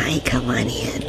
Hi, come on in.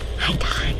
I died.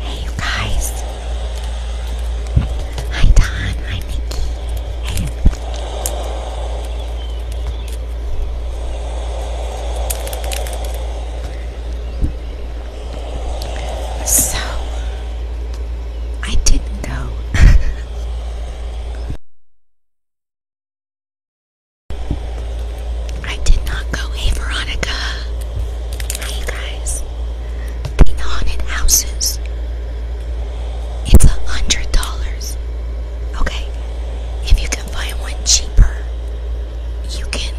Hey, you guys. Hi, Don. Hi, Nikki. So, I didn't know. I did not go. Hey, Veronica. Hey, guys. The haunted houses. It's a hundred dollars. Okay, if you can find one cheaper, you can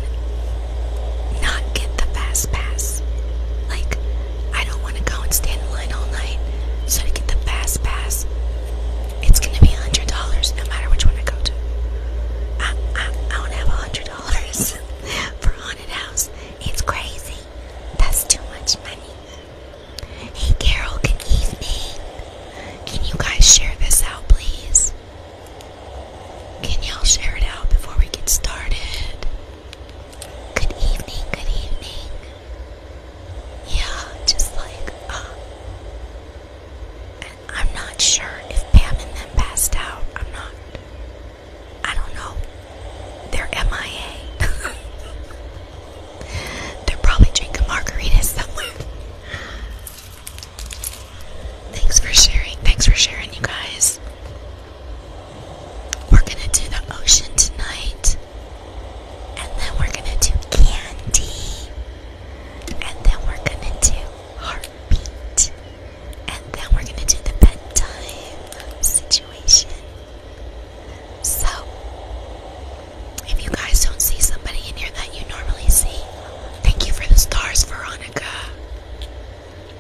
not get the fast pass. Like I don't want to go and stand in line all night. So to get the fast pass, it's gonna be a hundred dollars no matter which one I go to. I I, I don't have hundred dollars for haunted house. It's crazy. That's too much money. Hey Carol, good evening. Can you guys share this out, please? Can y'all share it out before we get started? Good evening, good evening. Yeah, just like, uh, I'm not sure if Pam and them passed out. I'm not, I don't know. They're MIA. They're probably drinking margaritas somewhere. Thanks for sharing. Thanks for sharing, you guys. We're gonna do the ocean tonight. And then we're gonna do candy. And then we're gonna do heartbeat. And then we're gonna do the bedtime situation. So, if you guys don't see somebody in here that you normally see, thank you for the stars, Veronica.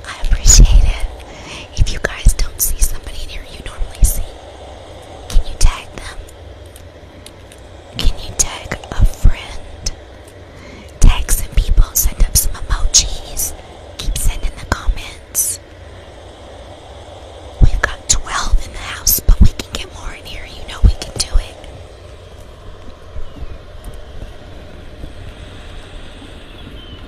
I appreciate it. If you guys don't see somebody in here you normally see, can you tag them? Can you tag a friend? Tag some people, send up some emojis. Keep sending the comments. We've got 12 in the house, but we can get more in here. You know we can do it.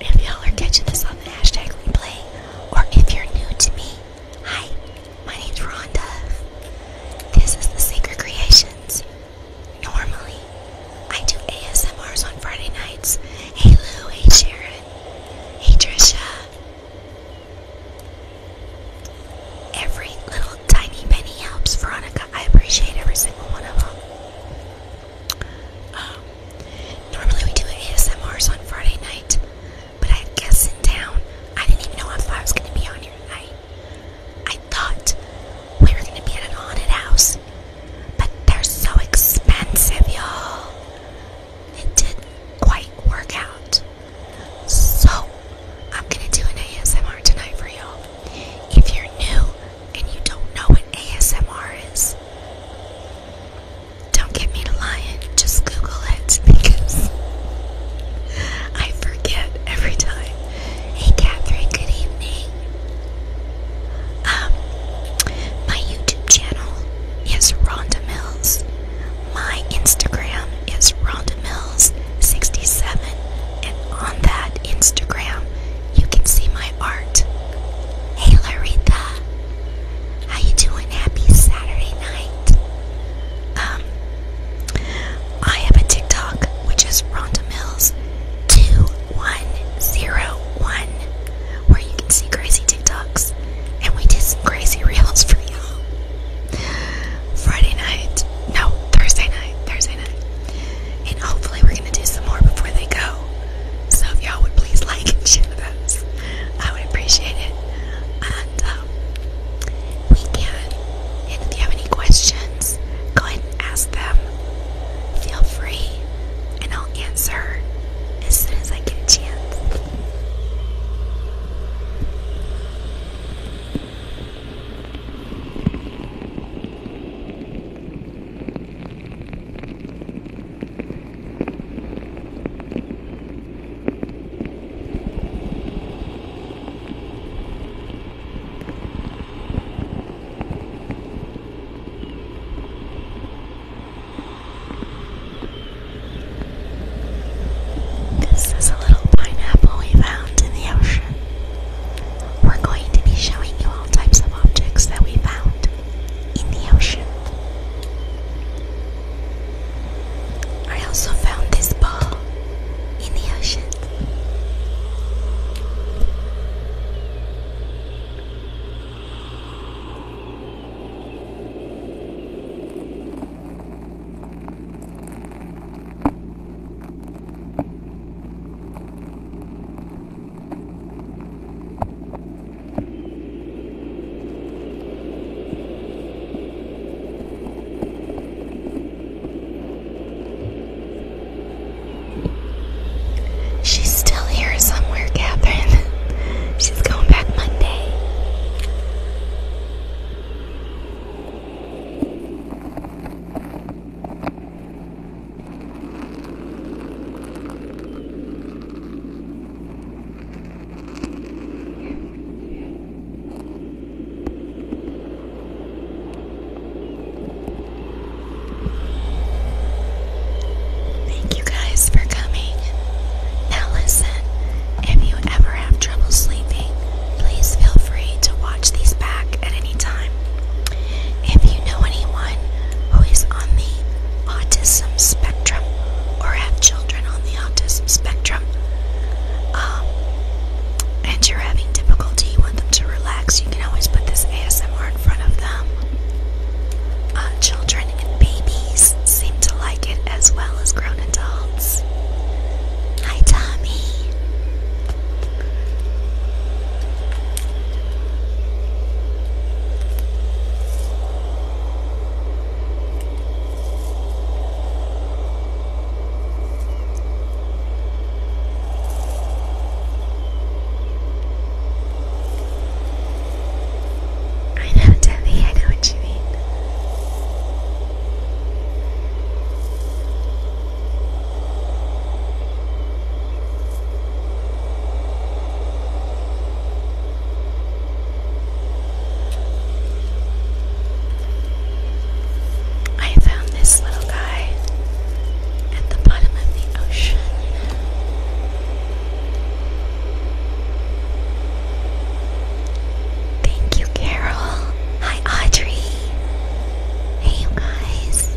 If y'all are catching this on the hashtag replay, or if you're new to me, hi, my name's Rhonda. This is the Sacred Creations. Normally, I do ASMRs on Friday nights. Hey Lou, hey Sharon, hey Trisha. Every little tiny penny helps, Veronica. I appreciate every single one of them. Um, normally we do ASMRs on Friday night, but I had in town. I didn't even know if I was going to be on here I thought we were going to be at an haunted house, but they're so expensive, y'all. It didn't quite work out. So, I'm going to do an ASMR tonight for y'all. If you're new, and you don't know what ASMR is, don't get me to lying, just Google it because I forget every time. Hey Catherine, good evening. Um, my YouTube channel is Rhonda Mills. My Instagram is Rhonda Mills67, and on that Instagram you can see my art. Hey Larita, how you doing? Happy Saturday night. Um, I have a TikTok, which is Rhonda Mills 2101, where you can see crazy TikToks, and we did some crazy reels for you Friday night, no, Thursday night, Thursday night. And hopefully we're gonna do some more before they go. So if y'all would please like and share the those, I would appreciate it. Um, we can. And if you have any questions, go ahead and ask them. Feel free, and I'll answer as soon as I get a chance. This is a little pineapple we found in the ocean. We're going to be showing you all types of objects that we found in the ocean. I also found this ball in the ocean. She's still here somewhere, Catherine. She's going back Monday. Thank you guys for coming. Now, listen, if you ever have trouble sleeping, please feel free to watch these back at any time. If you know anyone who is on the autism spectrum or have children on the autism spectrum, um, and you're having difficulty, you them to relax, you can always put this ASMR in front of them. Uh, children and babies seem to like it as well as grown adults. Hi, Tommy. I know, Debbie, I know what you mean. I found this little guy at the bottom of the ocean. Thank you, Carol. Hi, Audrey. Hey, you guys.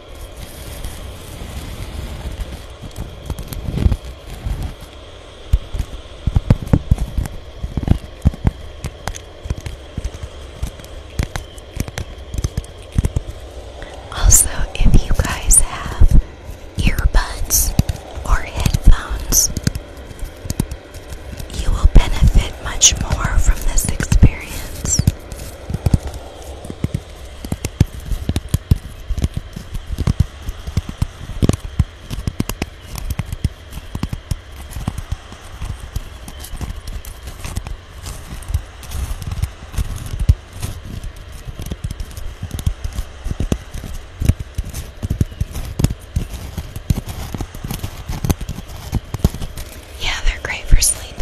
Also, if you guys have earbuds or headphones, you will benefit much more from this experience. Yeah, they're great for sleeping.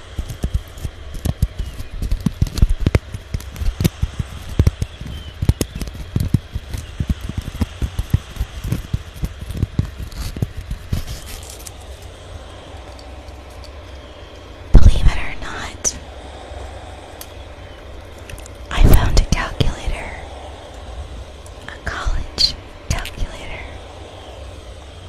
Believe it or not, I found a calculator, a college calculator.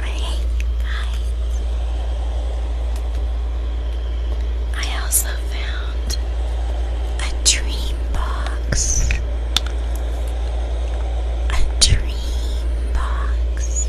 I hate guys. I also found a dream box. A dream box.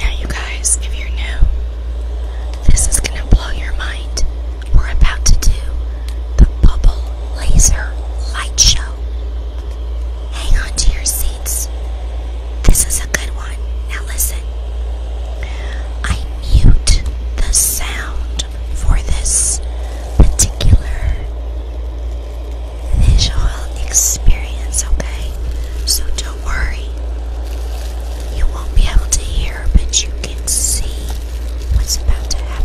Now, you guys, if you're new, this is going to blow your mind. We're about to do the bubble laser light show. Hang on to your seats. This is a good one. Now, listen. I mute the sound for this particular visual experience, okay? So don't worry. You won't be able to hear, but you can see what's about to happen.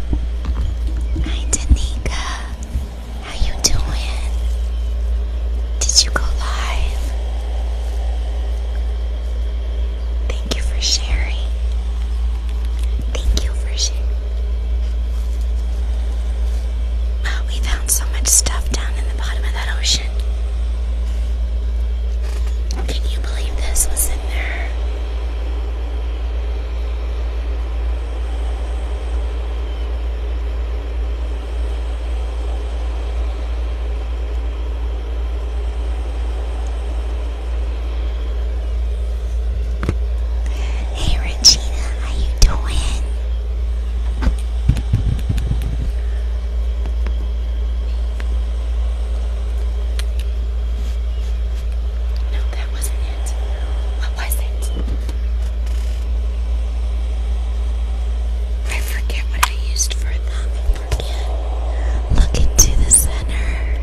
Hi Tanika, how you doing? Did you go live? Thank you for sharing. Thank you for sharing. Wow, we found so much stuff down in the bottom of that ocean. Can you believe this was in there? Hey Regina, how you doing? No, that wasn't it. What was it? I forget what I used for a Look into the center.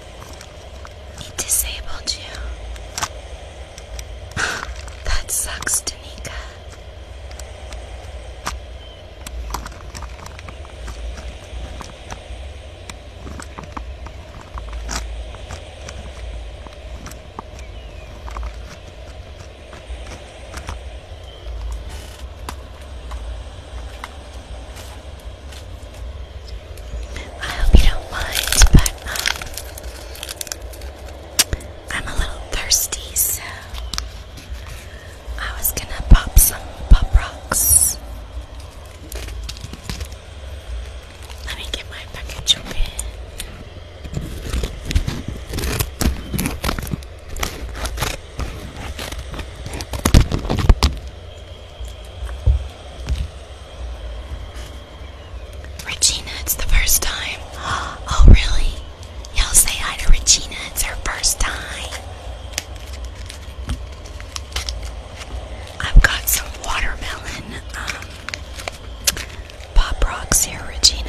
He disabled you. that sucks, Danica. I hope you don't mind, but um, I'm a little thirsty, so I was gonna pop some pop rocks. Let me get my package open. Regina, it's the first time. Oh, really? Y'all say hi to Regina, it's her first time. I've got some watermelon um, pop rocks here, Regina.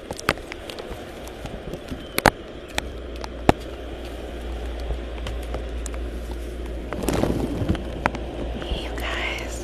You guys,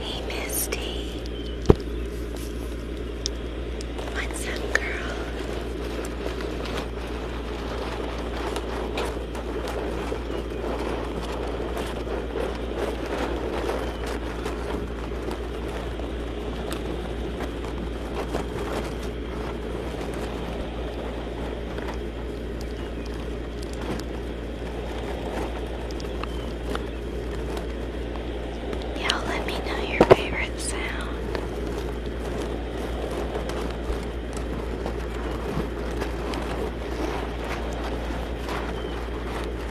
Hey, Misty. What's up, girl? Y'all let me know your favorite sound.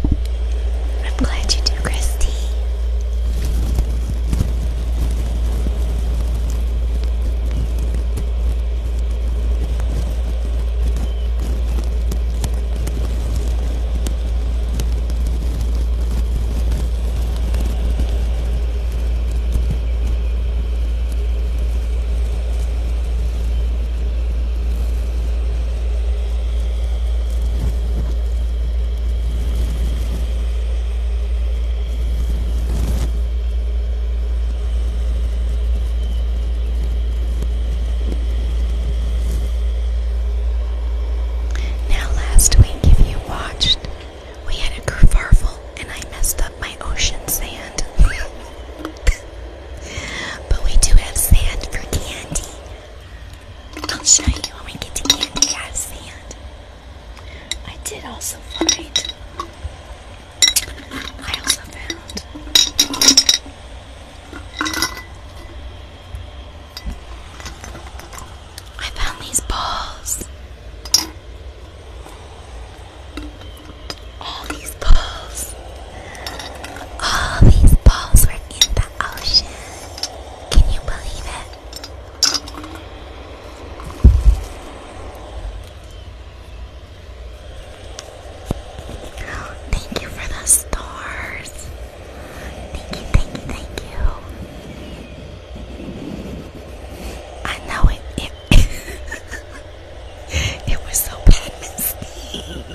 I'm glad you do, Christy. Now, last week, if you watched we had a kerfuffle and I messed up my ocean sand. but we do have sand for candy. I'll show you when we get to candy. I have sand. I did also find. I also found. I found these balls. All these balls. All these balls were in the ocean. Can you believe it? thank you for the stars. Thank you, thank you, thank you. I know it. It, was so bad, Miss D.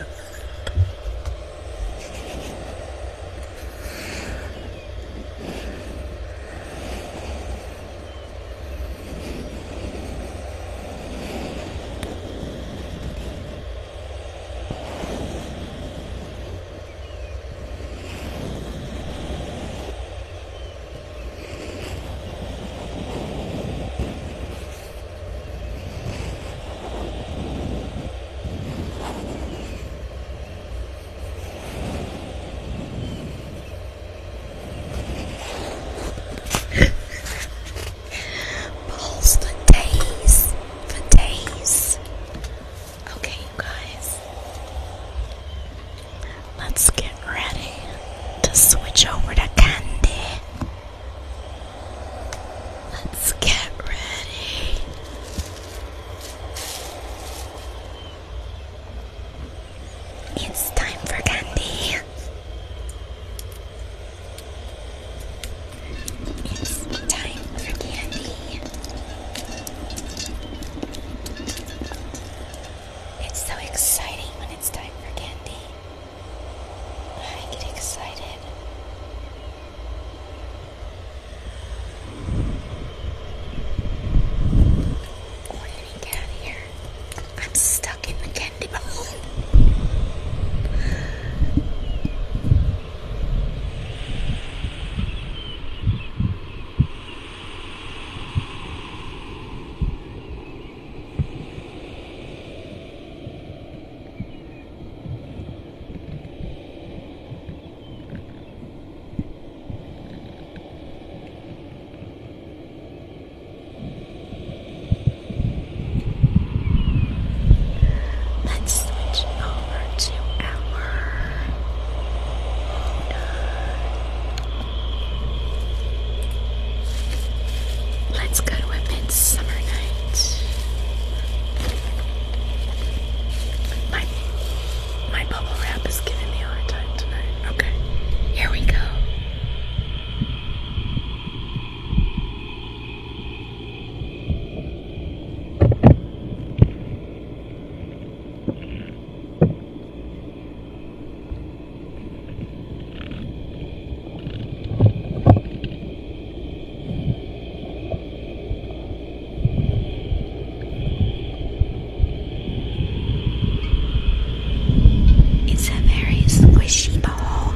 Balls for days, for days. Okay, you guys, let's get ready to switch over to candy. Let's get ready. It's time for candy. It's time for candy. It's so exciting when it's time for candy. I get excited. What get out of here? I'm stuck in the candy bowl. Let's switch over to our let Let's go to a midsummer night. My my bubble wrap is giving me a hard time tonight. Okay, here we go. It's a very squishy ball.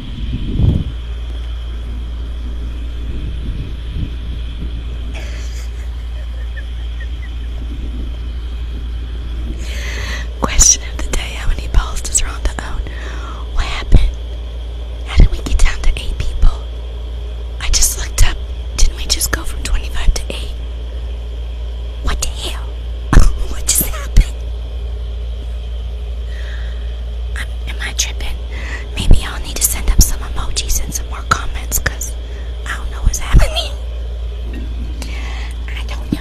Question of the day How many balls does Rhonda own? What happened? How did we get down to eight people? I just looked up. Didn't we just go from 25 to 8? What the hell? what just happened? I'm, I tripping? Maybe I'll need to send up some emojis and some more comments because I don't know what's happening. I don't know.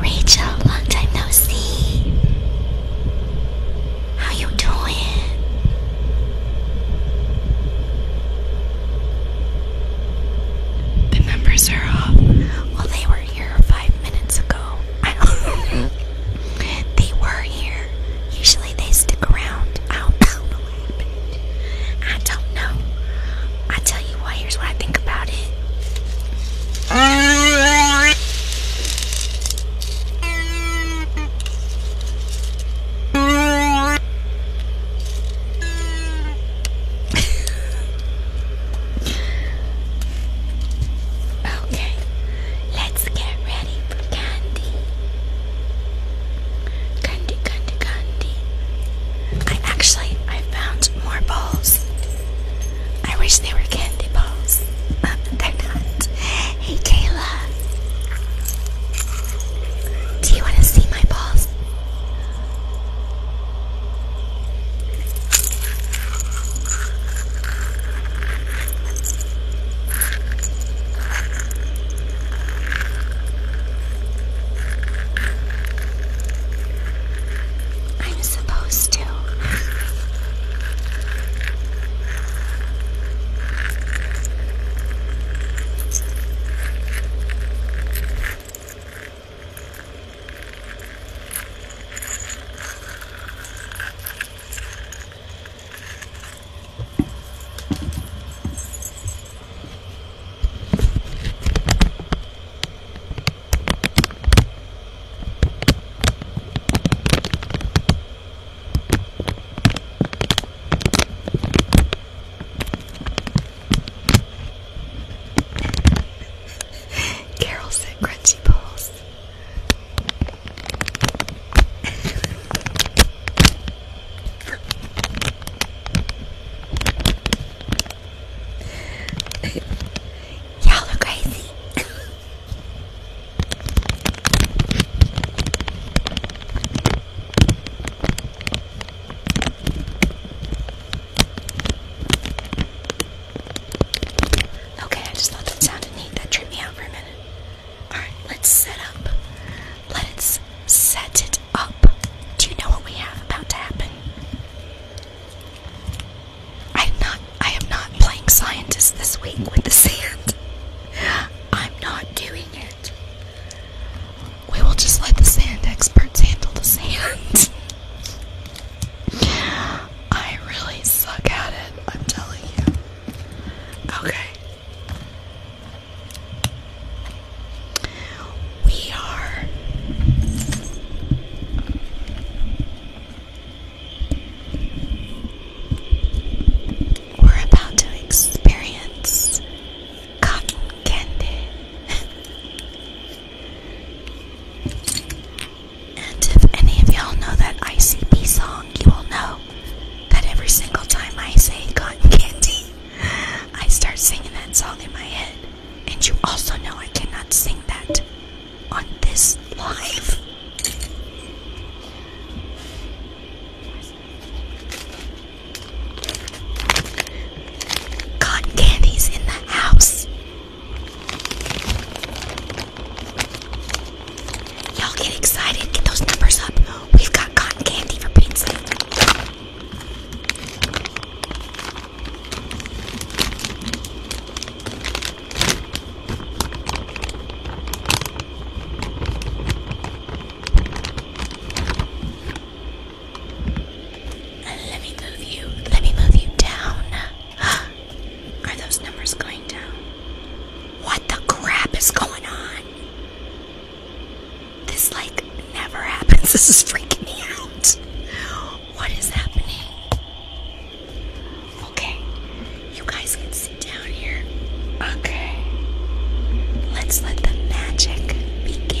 Rachel, long time no see. How you doing? The numbers are off. Well, they were here five minutes ago. they were here. Usually they stick around. I I don't know. I tell you what, here's what I think about it. okay, let's get ready candy. Candy, candy, candy. I actually I found more balls. I wish they were candy balls. Um, they're not. Hey Kayla. Do you want to see my balls? I'm supposed to. Carol said crunchy balls. Y'all are crazy. okay, I just thought that sounded neat. That tripped me out for a minute. Alright, let's set up. Let's set it up. Do you know what we have about to happen? I'm not I am not playing scientist this week with the sand. I'm not doing it. We will just let the sand experts handle the sand. I really suck at it, I'm telling you. Okay. We are we're about to experience cotton candy. and if any of y'all know that ICP song, you will know that every single time I say cotton candy, I start singing that song in my head. And you also know I cannot sing that on this live. Cotton candy's in the house. Y'all get excited. Get those numbers up. We've got cotton candy for Pete's Let me move you. Let me move you down. Are those numbers going down? What the crap is going on? This like never happens. This is freaking me out. What is happening? Okay, you guys can sit down here. Okay, let's let the magic begin.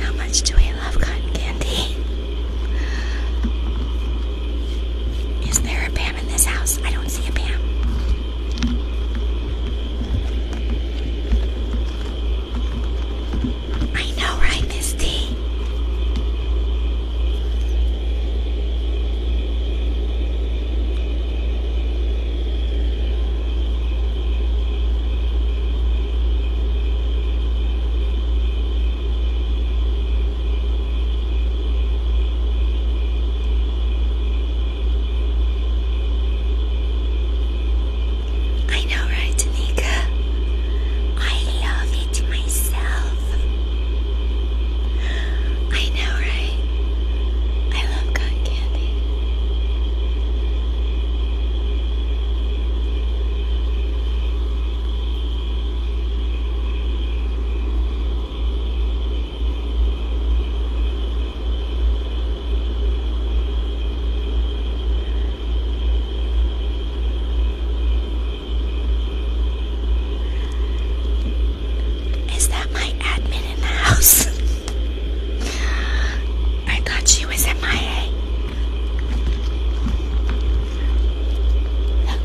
How much do we love cotton candy? Is there a Pam in this house? I don't see a Pam. I know, right, Misty? I know, right, Tanika? I love it myself. I know, right? I love cotton candy. Is that my admin in the house? I thought she was at my A. Look,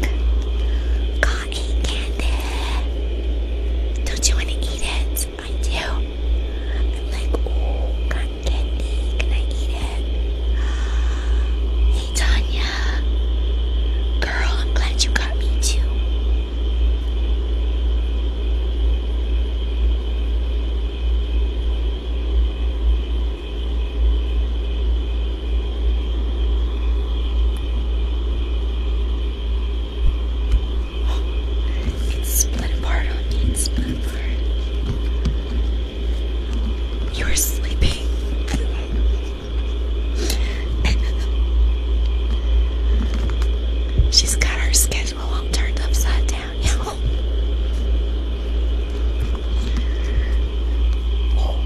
cotton candy. Don't you want to eat it? I do. I'm like, oh, cotton candy. Can I eat it? Hey Tanya, girl, I'm glad you got me too. It's split apart it's split apart. You're sleeping. She's got her schedule all turned upside down. Yo. Oh.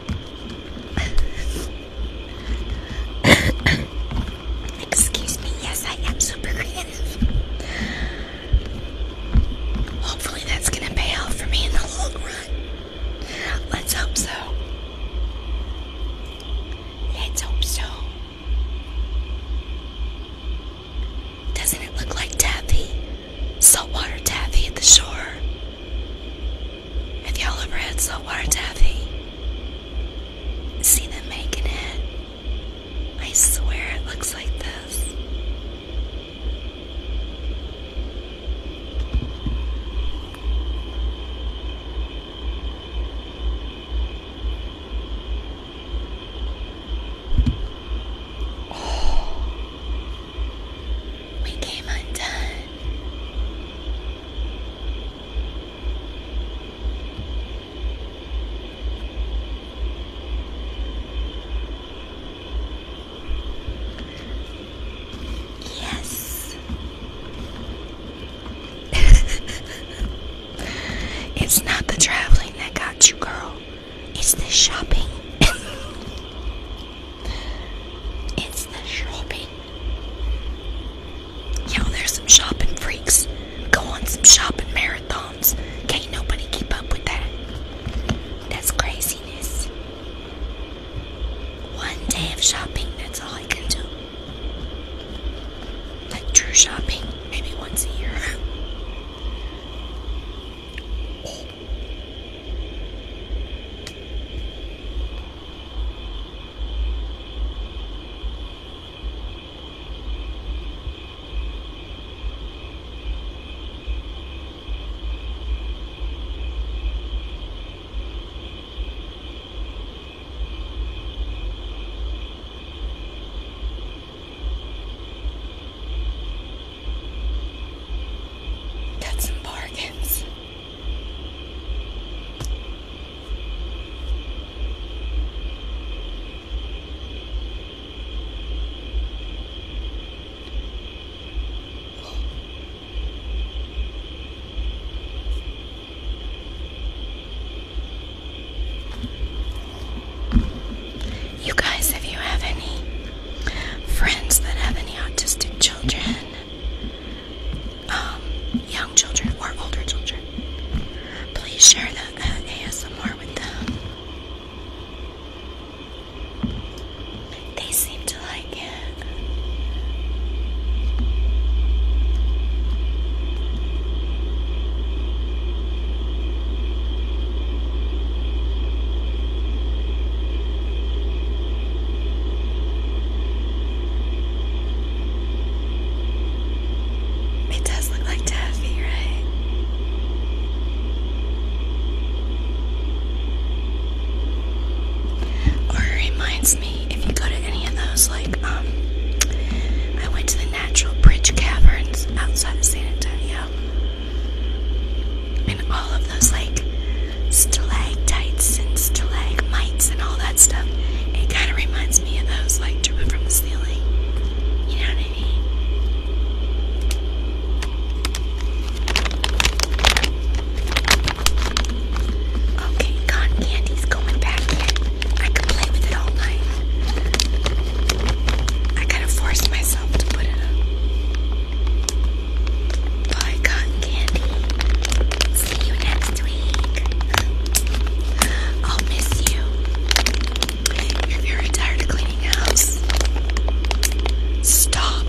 Excuse me, yes, I am super creative. Hopefully, that's gonna pay off for me in the long run. Let's hope so. Let's hope so. Doesn't it look like taffy? Saltwater taffy at the shore. If y'all ever had saltwater taffy, see them making it. I swear it looks like this we came undone. Yes. it's not the traveling that got you, girl. It's the shopping. it's the shopping me. Y'all, there's some shopping freaks. Go on some shopping marathons. Can't nobody keep up with that. That's craziness. One day of shopping, that's all I can do. Like true shopping, maybe once a year. Oh. That's some bargains. You guys, if you have any friends that have any autistic children, um, young children or older children. Please share the uh, ASMR with them. They seem to like it. It does look like taffy, right? Or reminds me if you go to any of those, like, um, I went to the Natural Bridge Caverns outside San Antonio and all of those like stalactites and stalagmites and all that stuff. It kind of reminds me of those like dripping from the ceiling. You know what I mean? Okay, cotton candy's going back in. I could play with it all night. I kind of forced myself to put it up buy candy. See you next week. I'll miss you. You're very tired of cleaning house. Stop.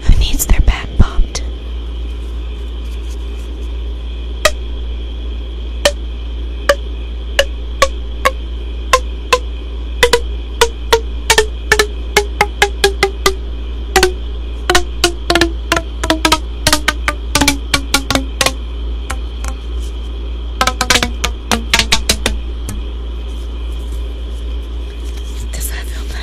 Who needs their back popped? Does that feel better?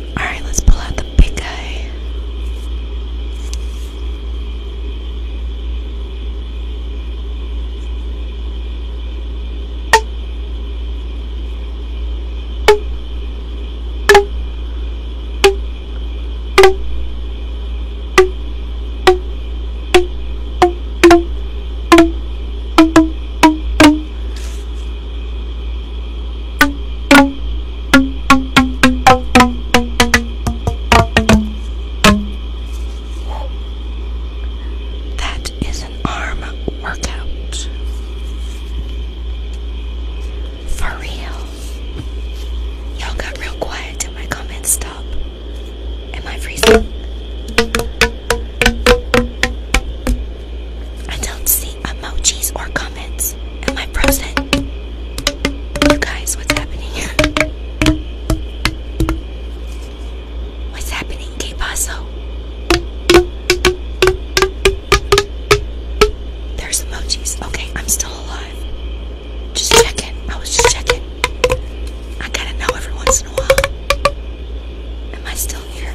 Alright, let's pull out the big guy. That is an arm workout. For real. Y'all got real quiet till my comments stop. Am I freezing? I don't see emojis or comments. Am I frozen? You guys, what's happening? what's happening, K Paso? There's emojis. Okay, I'm still alive. Just checking. I was just checking. I gotta know every once in a while. Am I still here?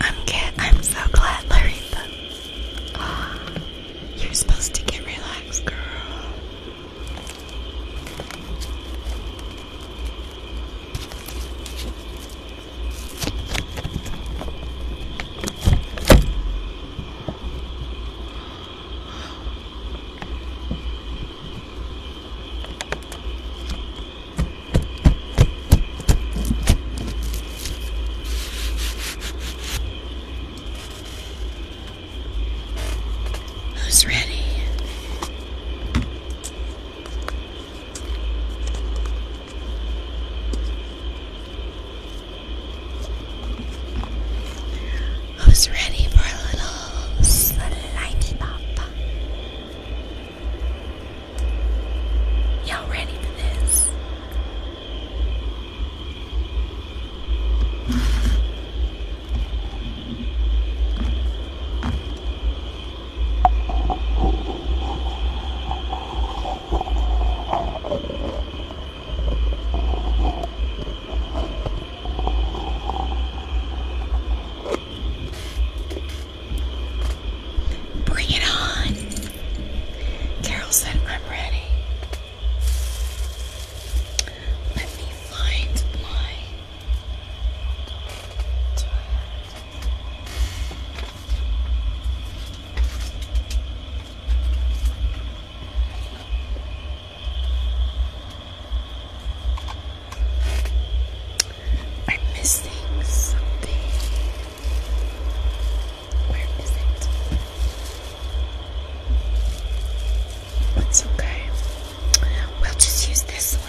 I'm get, I'm so glad, Larissa. Oh, you're supposed to get relaxed, girl. Who's ready? Who's ready for a little slimy pop? Y'all ready for this? Bring it on. Carol said, I'm ready. Let me find my. I'm missing something. Where is it? It's okay. We'll just use this one.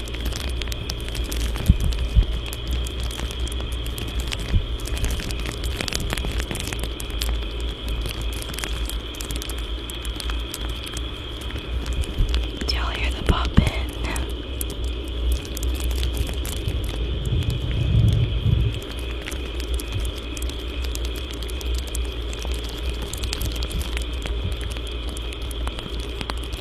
Do y'all hear the poppin'?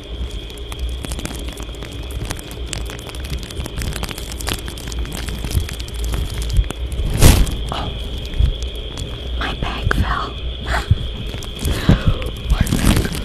Oh, my bag fell. my bag fell.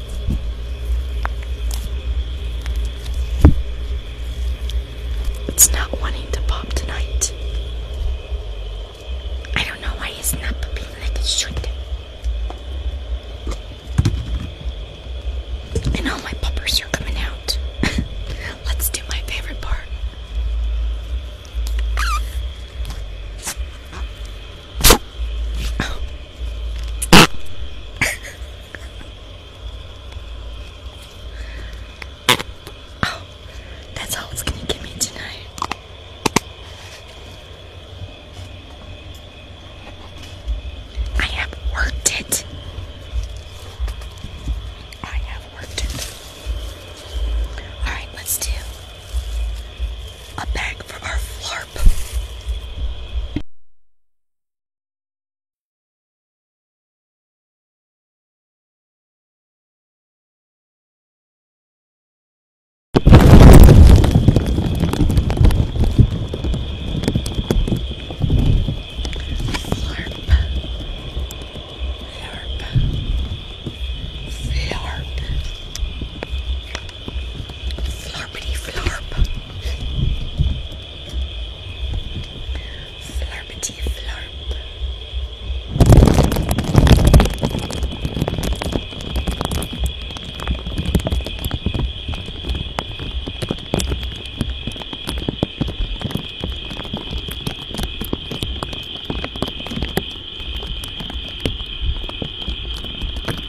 It's not wanting to pop tonight. I don't know why it's not popping like it should. And all my poppers are coming out. Let's do my favorite part. that's all it's gonna give me tonight. I have worked it. I have worked it. Alright, let's do a bag for our flarp. Flarp. Flarp. Flurpity flurp. Flurpity flurp.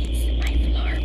It's my flarp.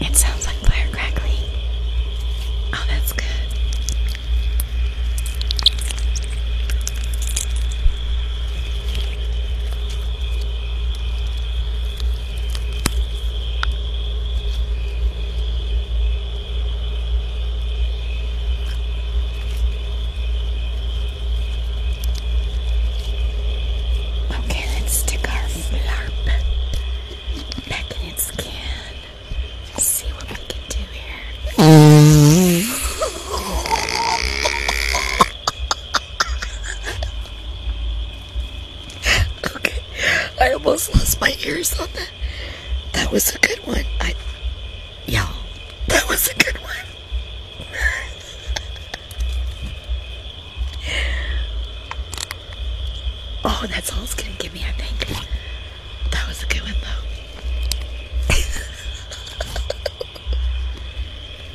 It sounds like fire crackling. Oh, that's good. Okay, let's stick our flarp back in its can. Let's see what we can do here. okay, I almost lost my ears on that. That was a good one. I, y'all, that was a good one. oh, that's all it's gonna give me, I think. That was a good one, though.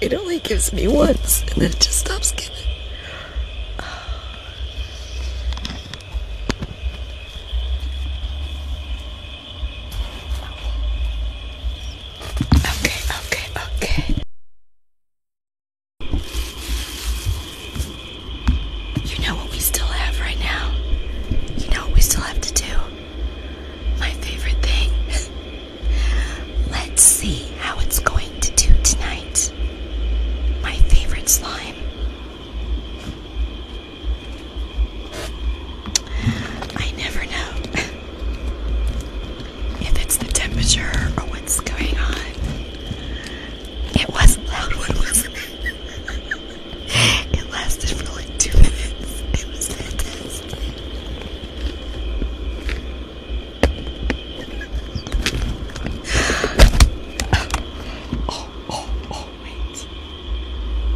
It only gives me once, and then it just stops giving. Okay, okay, okay. You know what we still have right now? You know what we still have to do? My favorite thing. Let's see how it's going to do tonight. My favorite slime. I never know if it's the temperature or what's going on. It was loud one, wasn't it? lasted for like two minutes. It was fantastic wait.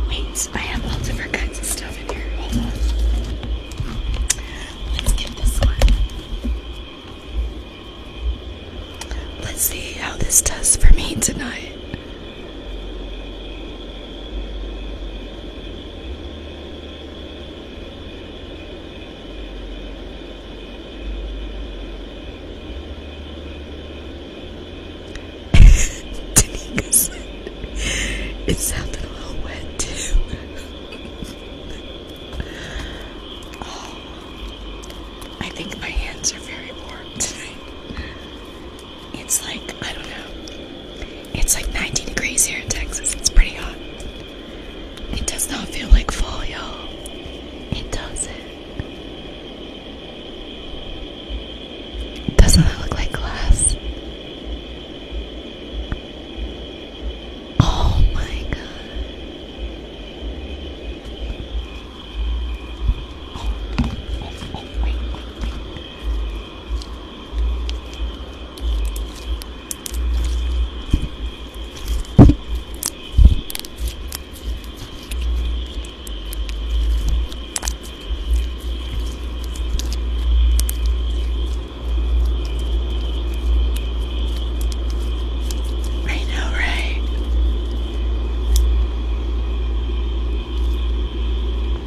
Wait, I have all different kinds of stuff in here. Let's get this one. Let's see how this does for me tonight. Tanika said it sounded a little wet too. oh, I think my hands are very warm tonight. It's like, I don't know. It's like 90 degrees here in Texas. It's pretty hot. It does not feel like fall, y'all. It doesn't. Doesn't that look like glass? Oh my god. Oh, oh, oh, I know, right?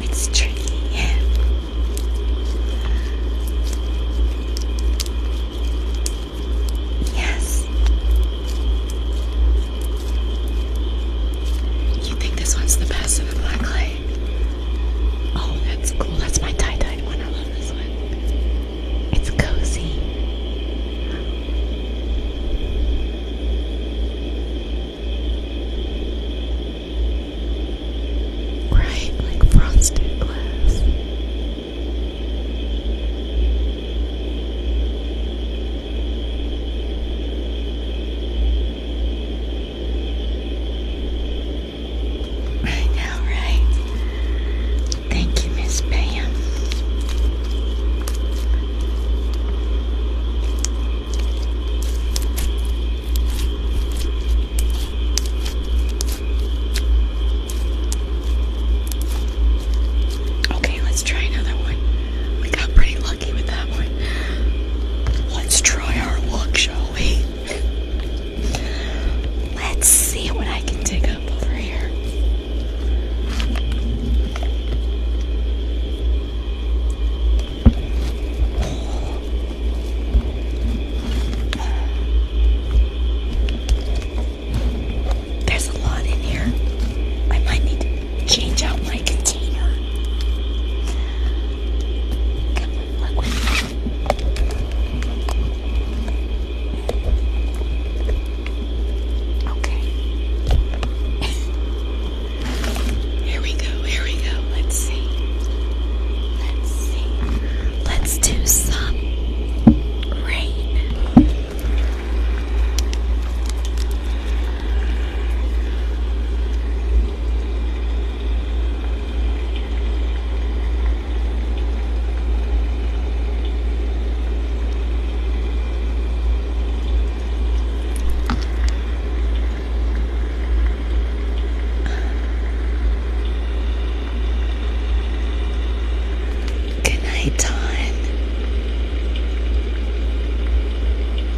It's tricky. yes. You think this one's the best of the black light? Oh, that's cool. That's my tie dye one. I love this one. It's cozy. Right, like frosted glass. Right now, right? Thank you, Miss Pam. Okay, let's try another one. We got pretty lucky. Let's try our luck, shall we? Let's see what I can dig up over here. There's a lot in here. I might need to change out my container. Okay. here we go, here we go. Let's see. Let's see. Let's do some rain. Good night, Don.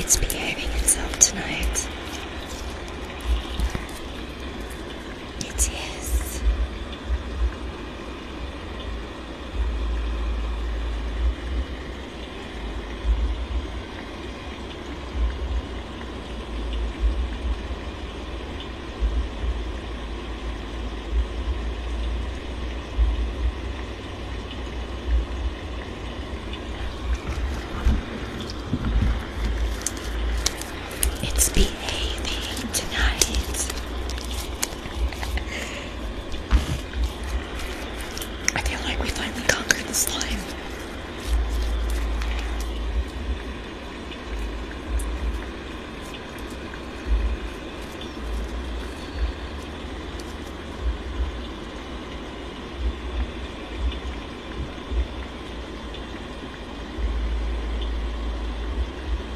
It's behaving itself tonight. It is. It's behaving tonight. I feel like we finally conquered the slime.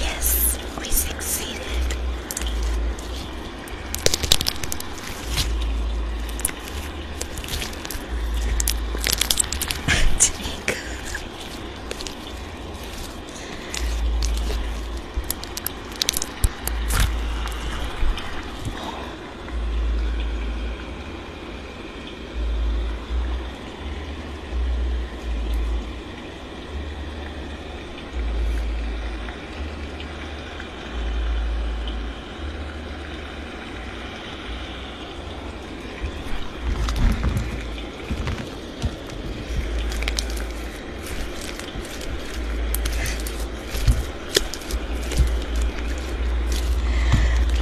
Yes, we succeeded. Take.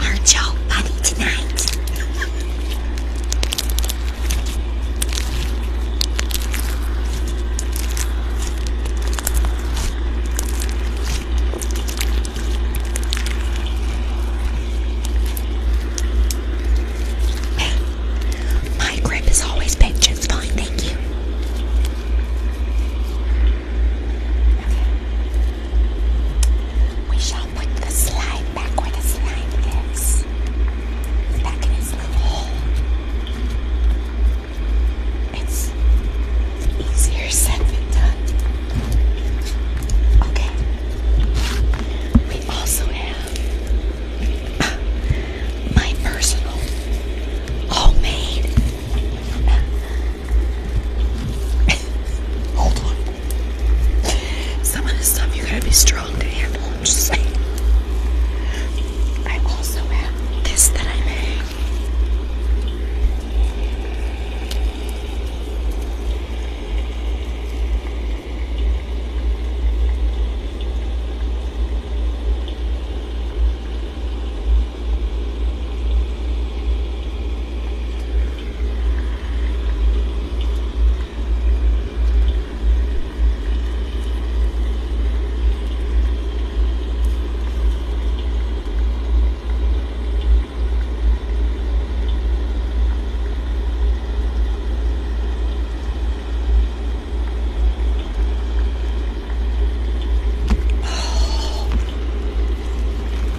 Our Joe Bunny tonight. My grip has always been just fine, thank you. We shall put the slide back where the slide is. Yes. Back its easier said than done. Okay. We also have my personal homemade. Hold on. Some of this stuff you gotta be strong. I also have this that I made.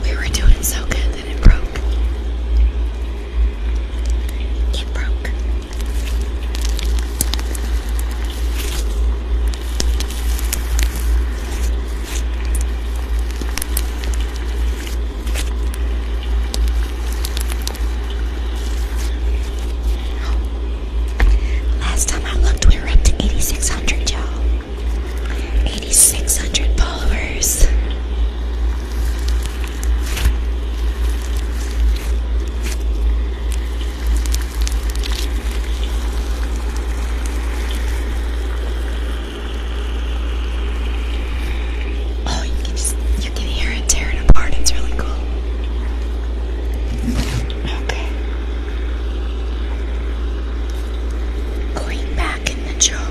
We were doing so good then it broke. It broke. Last time I looked, we were up to 8,600, y'all. 8,600 followers. Oh, you can just you can hear it tear it apart. It's really cool. Okay. Going back in the jar.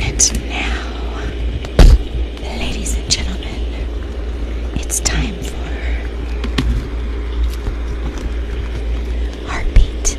And now, ladies and gentlemen, it's time for Heartbeat.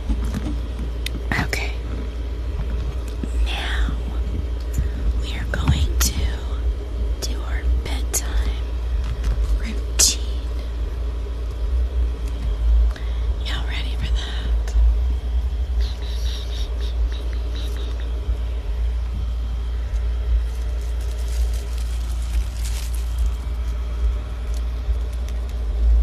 Okay. Now we are going to do our bedtime routine. Y'all ready for that?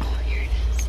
Oh, here it is.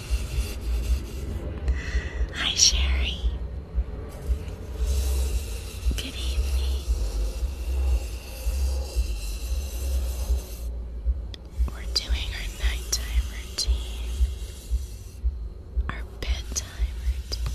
Hi, Sherry. Good evening. We're doing our nighttime routine, our bedtime routine.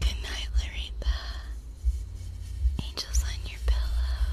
Good night, Larita. Angels on your pillow.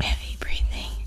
Heavy breathing.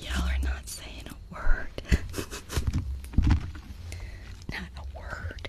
Y'all are not saying a word. not a word.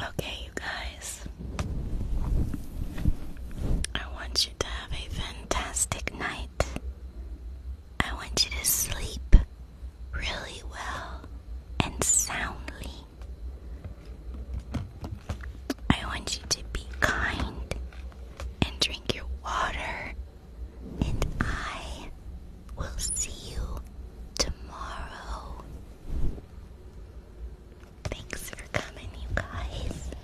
Okay, you guys, I want you to have a fantastic night. I want you to sleep really well and soundly. I want you to be kind and drink your water, and I will see you tomorrow. Thanks for coming, you guys.